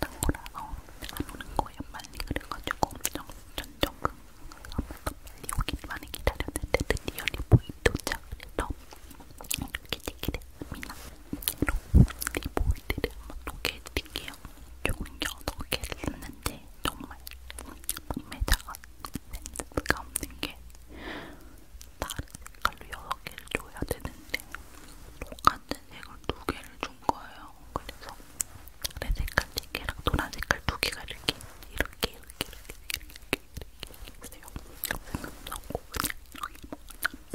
나오라서 안 오는 거예요. 빨리 그래가지고 엄청 전적금 아무도 빨리 오기만 기다렸는데 드디어 리보이 도착해서 이렇게 찍게 됐습니다. 리보이들을 한번 소개해드릴게요. 총 6개를 샀는데 정말 판매자가 센스가 없는 게 다른 색깔로 여섯 개를 줘야 되는데 똑같은 색을 두 개를 준 거예요. 그래서 내 색깔 세 개랑 노란 색깔 두 개가 이렇게 이렇게 이렇게 이렇게 이렇게 이렇게 있어요. 생각나고 그냥 이렇게 먹었는데요.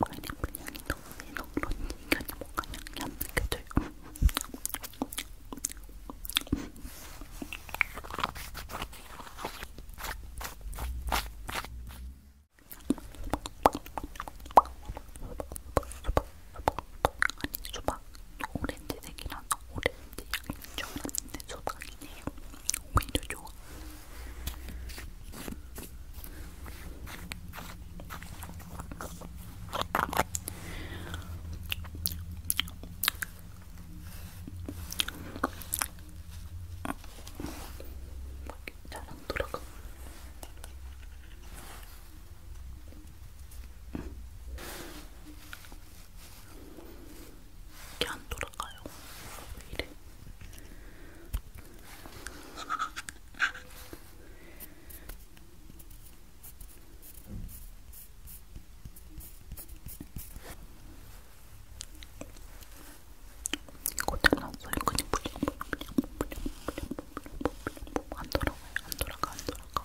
파인애플 향이 너무 해서 그런지 이게 뭔가 향이 안 느껴져요. 아니 수박 오렌지색이라서 오렌지 향인 줄 알았는데 소박이네요. 오히려 좋아. 잘안 돌아가. 이게 안 돌아가요. 왜 이래? 고장났어요. 그냥 불안 돌아가요. 안 돌아가, 안 돌아가.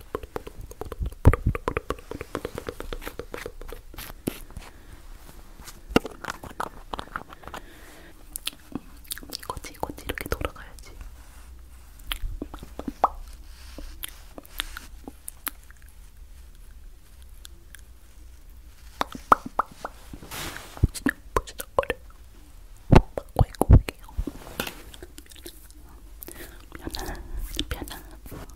이거지 이거지 이렇게 돌아가야지. 부지덕부지덕거려 막고 있고 올게요 편안, 편안.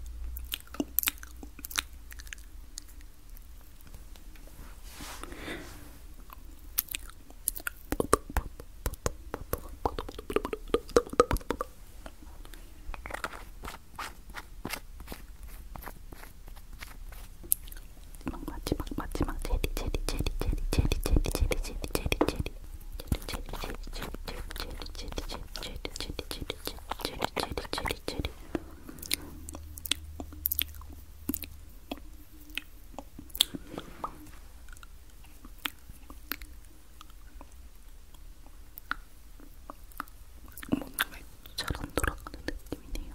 마지막 마지막 제리 제리 제리 제리 제리 제리 제리 제리 제리 제리 몸이 잘안 돌아가는 느낌이네요.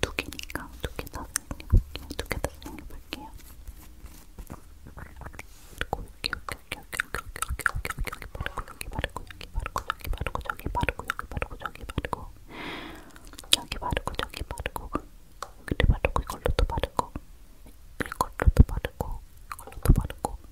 두 개니까 두개다 사용해볼게요. 두개다 사용해볼게요. 여기 여기 여기 여기 여기 여기 여기 바르고 여기 바르고 여기 바르고 여기 바르고 저기 바르고 여기 바르고 저기 바르고 여기 바르고 저기 바르고 여기도 바르고 이걸로도 바르고 이걸로도 바르고 이걸로도 바르고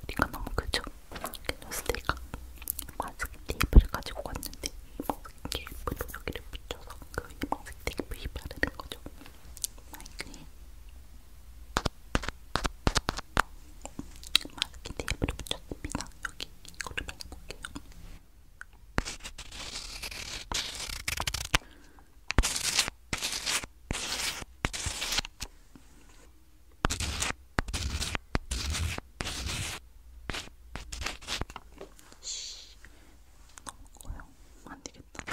스티커 너무 크죠? 그래서 스티커 과색 테이프를 가지고 왔는데 이만색 테이프로 여기를 붙여서 그 이만색 테이프에 바르는 거죠 마이크에 마스크 테이프를 붙였습니다 여기 이거를 발라볼게요 너무 커요. 안 되겠다.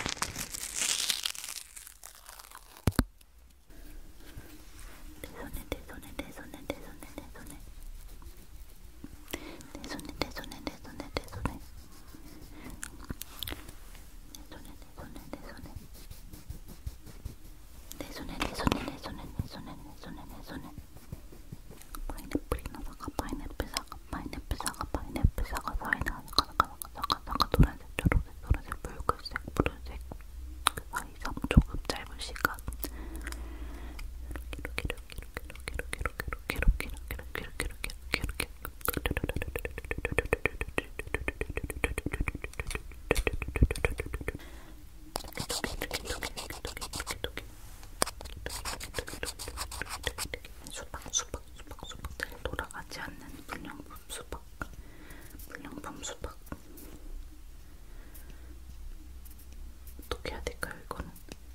내 손에 내 손에 내 손에 내 손에 내 손에 내 손에 내 손에 내 손에 내 손에 내 손에 내 손에 내 손에 내 손에 내 손에 내 손에 내 손에 내 손에 내 손에 파인애플이 나사가 파인애플 사과 파인애플 사과 파인애플 사과 사이다 사과 사과 사과 사과 노란색 초록색 노란색 붉은색 푸른색 그 사이 3초급 짧은 시간 이렇게 이렇게 이렇게 수박 수박 수박 수박 잘 돌아가지 않는 불량품 수박 불량품 수박 어떻게 해야 될까요 이거는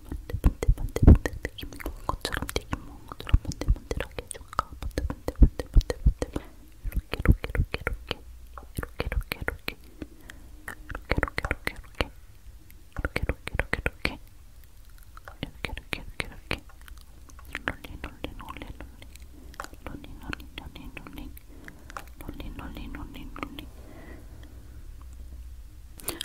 번데번데번데번데 튀김 먹은 것처럼 튀김 먹은 것처럼 번데번데하게 해줄까? 번데번데번데번데번데 이렇게 이렇게 이렇게 이렇게 이렇게 이렇게 이렇게 이렇게 이렇게 이렇게 이렇게 이렇게 이렇게 이렇게 이렇게 이렇게 이렇게 이렇게 롤리 롤리 롤리 롤리 롤리 롤리 롤리 롤리 롤리 롤리 롤리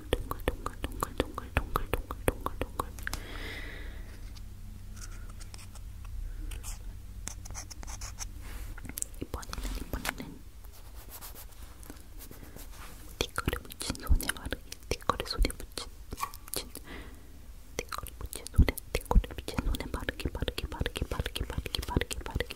동글 동글 동글 동글 동글 동글 동글 동글 동글 이번에는 이번에는 티커를 붙인 손에 바르기 티커를 손에 붙인 붙인 티커를 붙인 손에 티커를 붙인 손에 바르기 바르기 바르기 바르기 바르기 바르기 바르기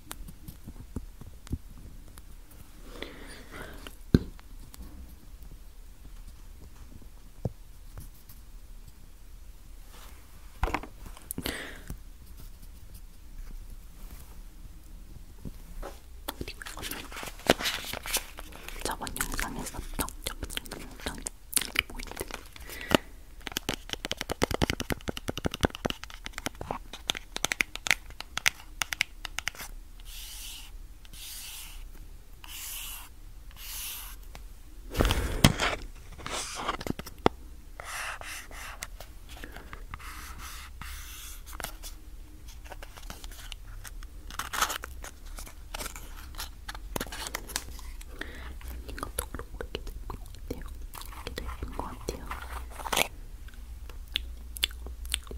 저번 영상에서 떡떡떡떡 이렇게 보이는데 이것도 그렇게 될것 같아요. 이렇게 될것 같아요.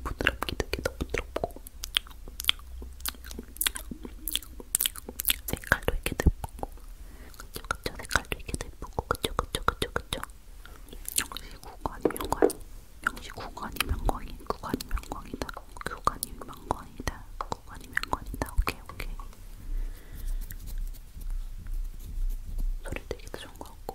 부드럽게 되게도 부드럽고 색깔도 이렇게 예쁘고 그쵸 그쵸 색깔도 이렇게 예쁘고 그쵸 그쵸 그쵸 그쵸 명시 구간이 명광이 명시 구간이 명광이 구간이 명광이다 구간이 명광이다 구간이 명광이다 오케이 오케이 소리 되게 좋은 거 같고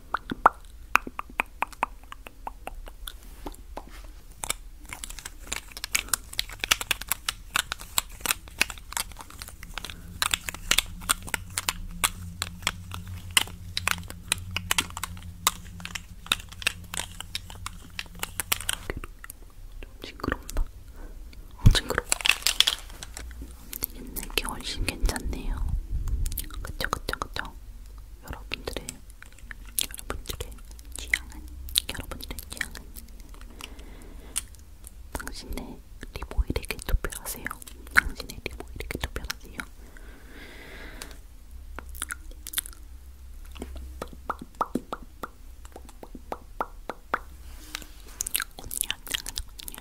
좀 징그럽나? 어, 징그러워. 옛날 게 훨씬 괜찮네요. 그쵸 그쵸 그쵸. 여러분들의 여러분들의 취향은 여러분들의 취향은 당신의 리모일에게 투표하세요. 당신의 리모일에게 투표하세요. 언니 한 장은 언니